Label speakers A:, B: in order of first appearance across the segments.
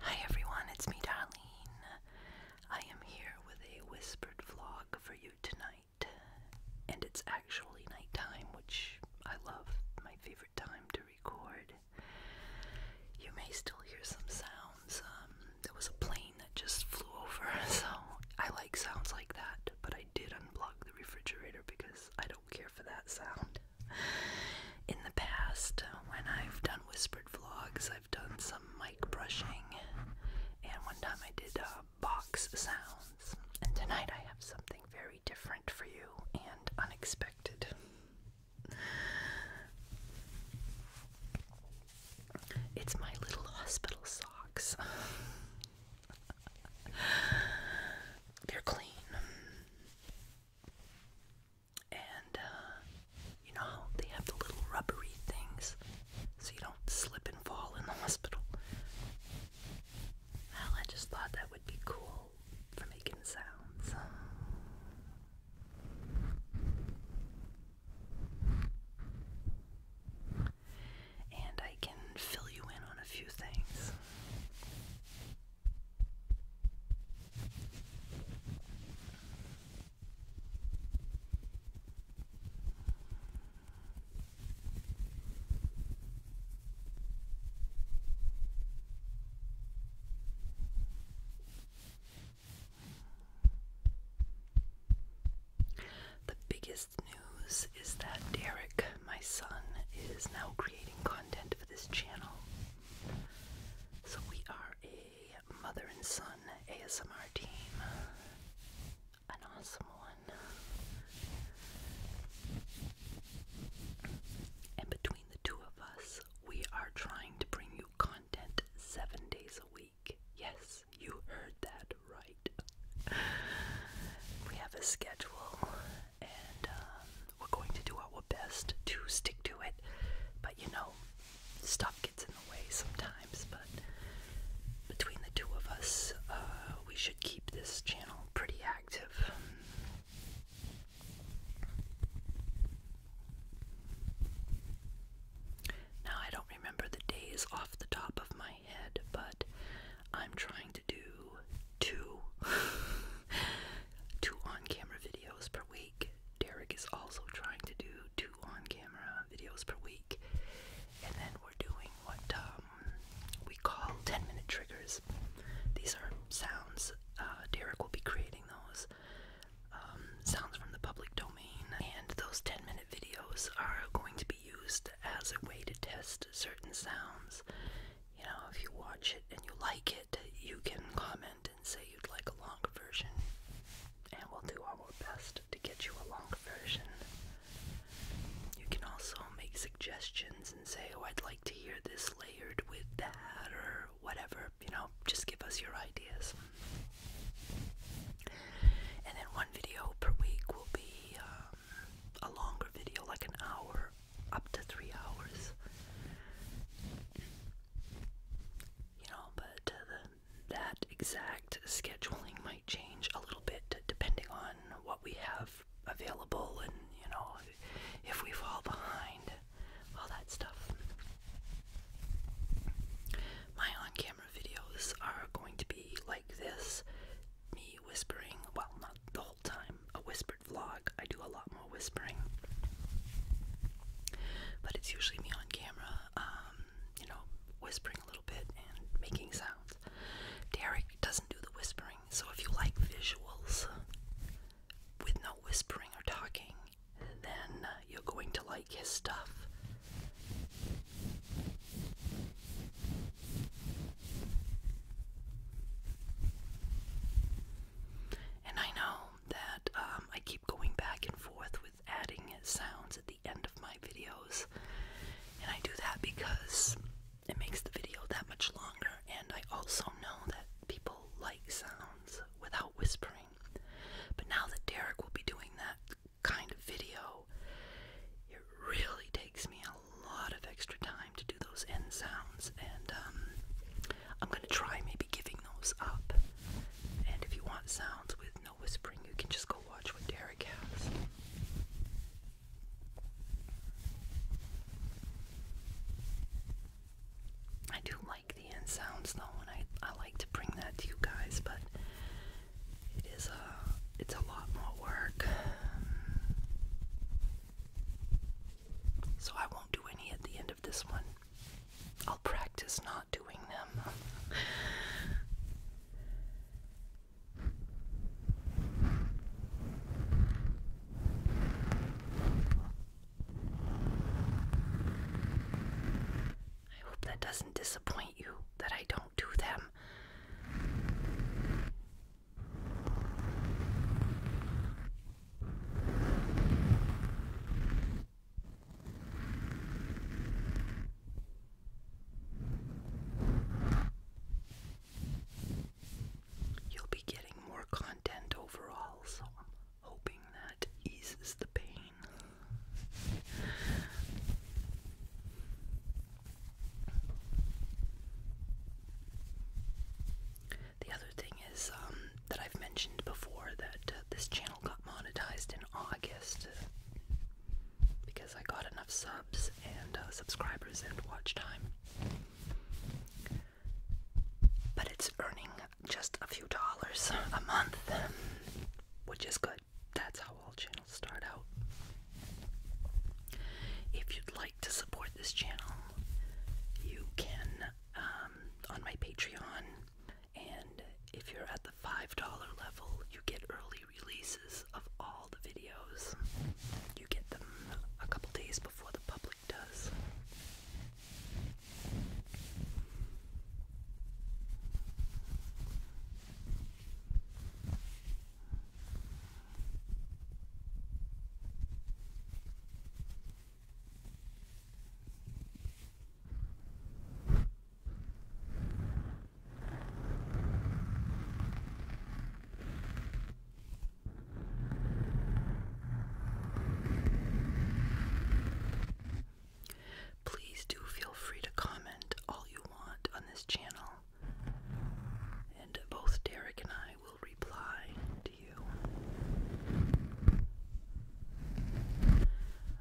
A: Hi everyone, it's me Darlene. I am here with a whispered vlog for you tonight. And it's actually nighttime, which I love, my favorite time to record. You may still hear some sounds. Um, there was a plane that just flew over, so I like sounds like that, but I did unblock the refrigerator because I don't care for that sound. In the past, when I've done whispered vlogs, I've done some mic brushing, and one time I did uh, box sounds. And tonight I have something very different for you and unexpected. It's my little hospital socks. They're clean. And uh, you know they have the little rubbery things so you don't slip and fall in the hospital. Well, I just thought that would be cool for making sounds. And I can fill you in on a few things. The biggest news is that Derek, my son, is now creating content for this channel. So we are a mother and son ASMR team. An awesome one. And between the two of us, we are trying to bring you content seven days a week. Yes, you heard that right. We have a schedule, and um, we're going to do our best to stick to it, but you know, stuff gets in the way sometimes. But between the two of us, uh, we should keep this channel pretty active. Now, I don't remember the days off the top of my head, but I'm trying to do two, two on camera videos per week. Derek is also trying to do two on camera videos per week. And then we're doing what um, we call 10 minute triggers. These are sounds, uh, Derek will be creating those. Um, sounds from the public domain. And those 10 minute videos are going to be used as a way to test certain sounds. You know, if you watch it and you like it you can comment and say you'd like a long version, and we'll do our best to get you a long version. You can also make suggestions and say, Oh, I'd like to hear this layered with that, or whatever. You know, just give us your ideas. And then one video per week will be um, a longer video, like an hour, up to three hours. You know, but uh, that exact scheduling might change a little bit depending on what we have available and, you know, if we fall behind, all that stuff. My on camera videos are going to be like this me whispering, well, not the whole time, a whispered vlog. I do a lot more whispering. But it's usually me on camera, um, you know, whispering a little bit and making sounds. Derek doesn't do the whispering, so if you like visuals with no whispering or talking, then you're going to like his stuff. And I know that um, I keep going back and forth with adding sounds at the end of my videos, and I do that because it makes the video that much longer, and I also know that people like sounds without whispering. But now that Derek will be doing that kind of video, it really takes me a lot of extra time to do those end sounds, and um, I'm gonna try maybe giving those up. And if you want sounds with no whispering, you can just go watch what Derek has. I do like the end sounds though, and I, I like to bring that to you guys, but it is a uh, it's a lot more work. So I won't do any at the end this one. I'll practice not doing them. I hope that doesn't disappoint you that I don't do them. You'll be getting more content overall, so I'm hoping that eases the pain. The other thing um, that I've mentioned before that uh, this channel got monetized in August uh, because I got enough subs and uh, subscribers and watch time. But it's earning just a few dollars a month, which is good. That's how all channels start out. If you'd like to support this channel, you can um, on my Patreon. And if you're at the $5 level, you get early releases of all the videos. You get them a couple days before the public does. Please do feel free to comment all you want on this channel, and both Derek and I will reply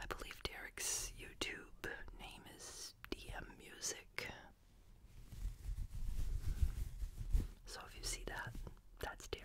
A: I believe Derek's YouTube name is DM Music. So if you see that, that's Derek.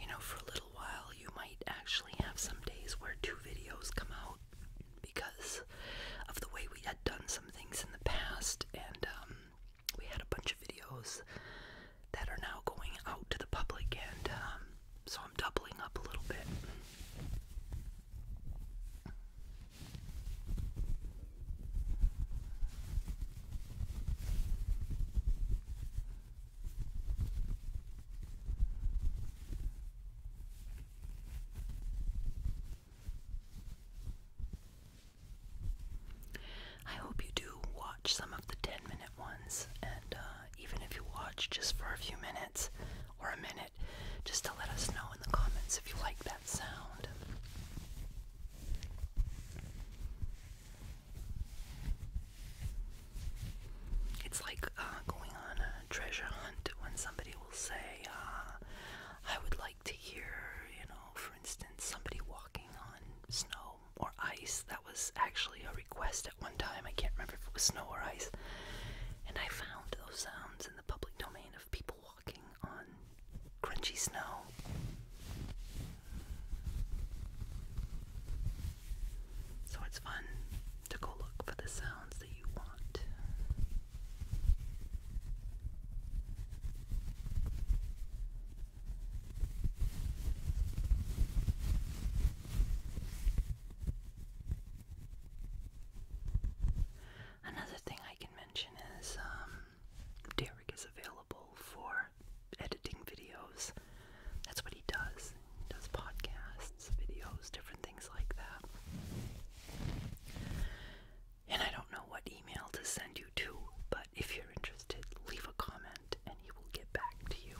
A: You know, for a little while, you might actually have some days where two videos come out because of the way we had done some things in the past, and um, we had a bunch of videos that are now going out to the public, and um, so I'm doubling up a little bit. I hope you do watch some of the 10 minute ones, and uh, even if you watch just for a few minutes or a minute, just to let us know in the comments if you like that sound. It's like uh, going on a treasure hunt when somebody will say, uh, I would like to hear, you know, for instance, somebody walking on snow or ice. That was actually a request at one time. I can't remember if it was snow or ice. And I found those sounds in the public domain of people walking on crunchy snow. So it's fun to go look for the sounds that you want. Another thing I can mention is um, Derek is available for editing videos. That's what he does. He does podcasts, videos, different things like that. And I don't know what email to send you to, but if you're interested, leave a comment and he will get back to you.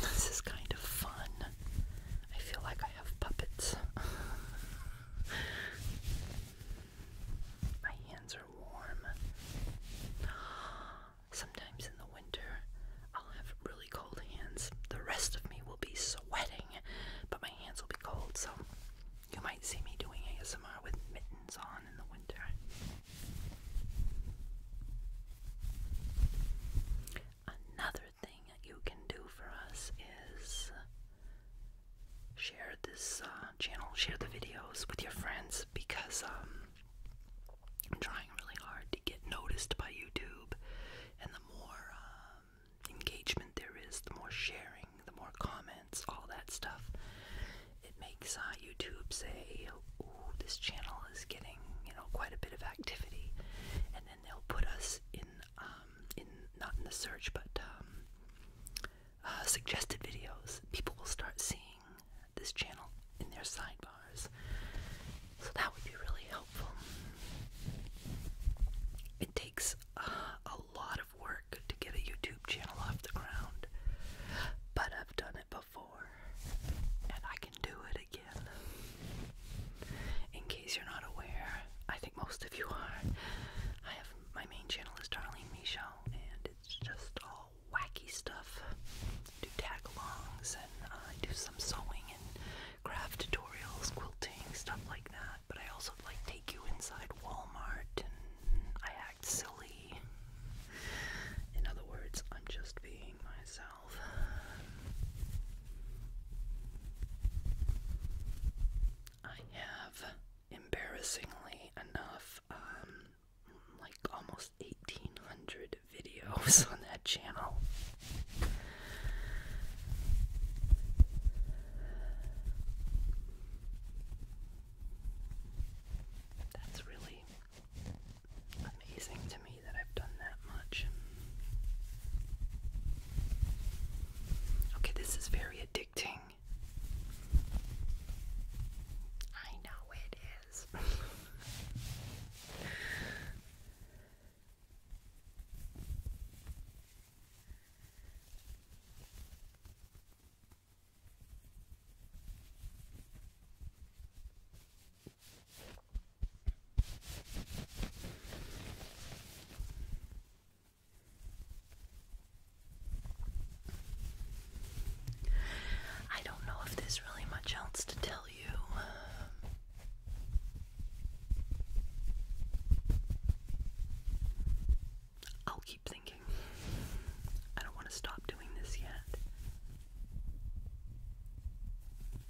A: This is kind of fun. I feel like I have puppets. My hands are warm. Sometimes in the winter, I'll have really cold hands. The rest of me will be sweating, but my hands will be cold, so you might see me doing ASMR with mittens on in the winter. Another thing that you can do for us is share this uh, channel, share the videos with your friends because um, I'm trying really hard to get noticed by YouTube, and the more um, engagement there is, the more sharing, the more comments, all that stuff. It makes uh, YouTube say, "Ooh, this channel is getting you know quite a bit of activity," and and they'll put us in um, in not in the search but um, uh, suggested videos. People will start seeing this channel in their sidebars, so that would be really helpful. It takes uh, a lot of work to get a YouTube channel off the ground, but I've done it before, and I do it again. In case you're not aware, I think most of you are. I have my main channel is Darlene Michelle, and it's just all wacky stuff. do tag alongs, and do some sewing and craft tutorials, quilting, stuff like that. But I also like take you inside Walmart, and I act silly. In other words, I'm just being myself. I have embarrassingly enough um, like almost 1800 videos on that channel. That's really amazing to me that I've done that much. Okay, this is very addicting. I know it is. I don't know if there's really much else to tell you. I'll keep thinking. I don't want to stop doing this yet.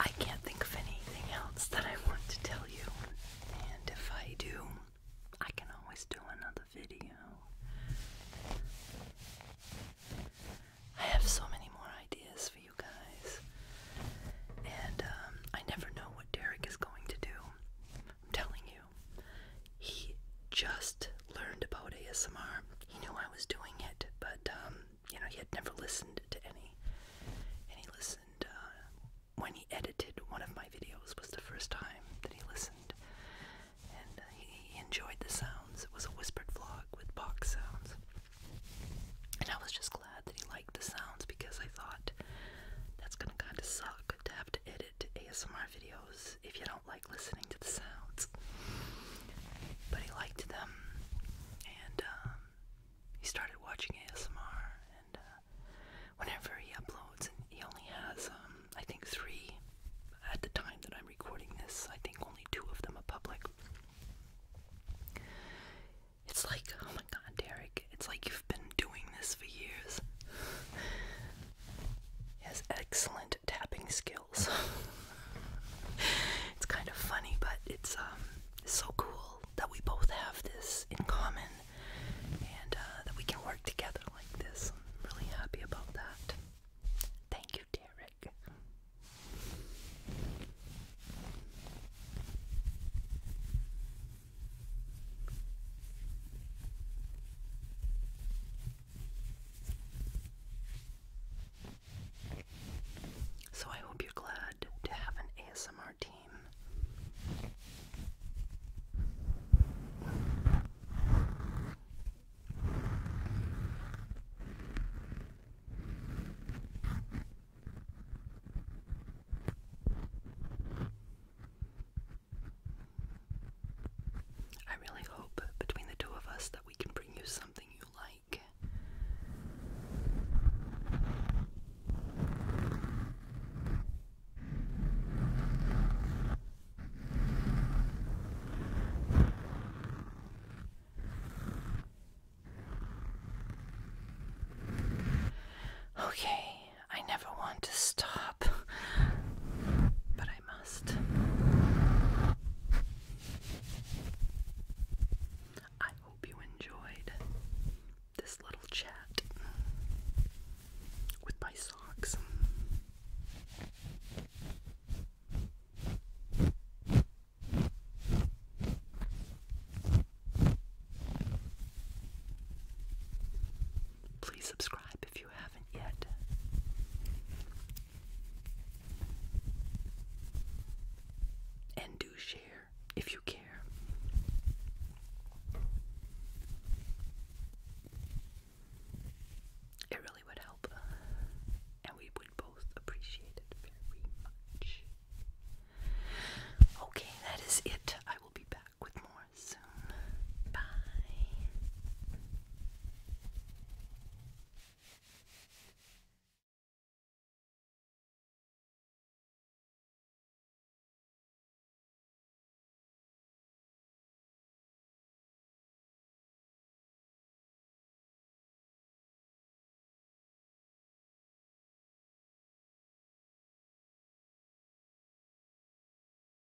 A: I can't think of anything else that I want to tell you, and if I do, I can always do another video. I have so many more ideas for you guys, and um, I never know what Derek is going to do. I'm telling you, he just learned about ASMR. He knew I was doing it, but um, you know, he had never listened to any. And he listened uh, when he edited one of my videos was the first time that he listened. And uh, he enjoyed the sounds. It was a whispered vlog with box sounds. And I was just glad that he liked the sounds because I thought that's gonna kind of suck to have to edit ASMR videos if you don't like listening to the sounds. But he liked them, and um, he started watching ASMR. And uh, whenever he uploads, and he only has, um, I think, three at the time that I'm recording this. I think only two of them are public. It's like, oh my god, Derek, it's like you've been doing this for years. He has excellent tapping skills. it's kind of funny, but it's um so cool that we both have this in common and uh, that we can work together like this. I'm really happy about that. Thank you, Derek. So I hope you're glad to have an ASMR team. I really hope between the two of us that we can bring you something you like. Okay, I never want to stop, but I must. I hope you enjoyed this little chat with my socks. Please subscribe if and do share if you care. It really would help, and we would both appreciate it very much. Okay, that is it. I will be back with more soon. Bye.